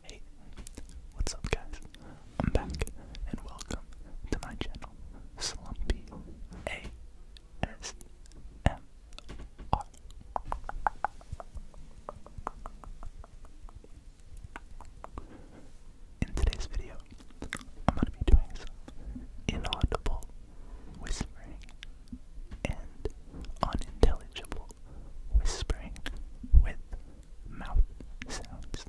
Hey, what's up guys? I'm back and welcome to my channel, Slumpy ASMR. In today's video, I'm going to be doing some inaudible whispering and unintelligible whispering with mouth sounds.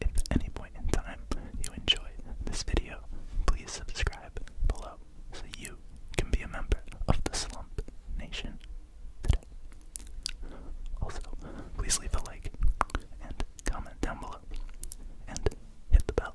If at any point in time you enjoyed this video, please subscribe below so you can be a member of the Slump Nation today. Also, please leave a like and comment down below and hit the bell.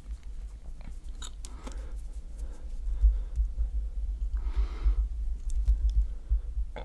So, I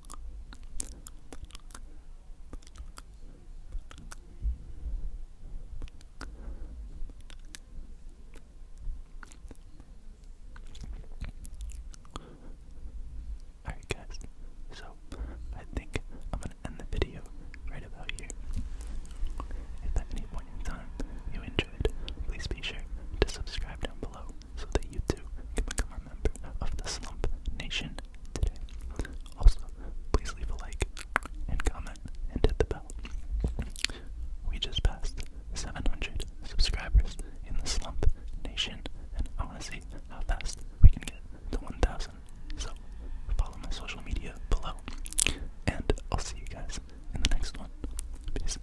Alright, guys, so I think I'm gonna end the video right about here. If at any point in time you enjoyed, please be sure to subscribe down below so that you too can become a member of the Slump Nation today. Also, please leave a like and comment and hit the bell. We just passed 700 subscribers in the Slump Nation, and I want to see how fast we can get to 1,000. So, follow my social media below, and I'll see you guys in the next one. Peace.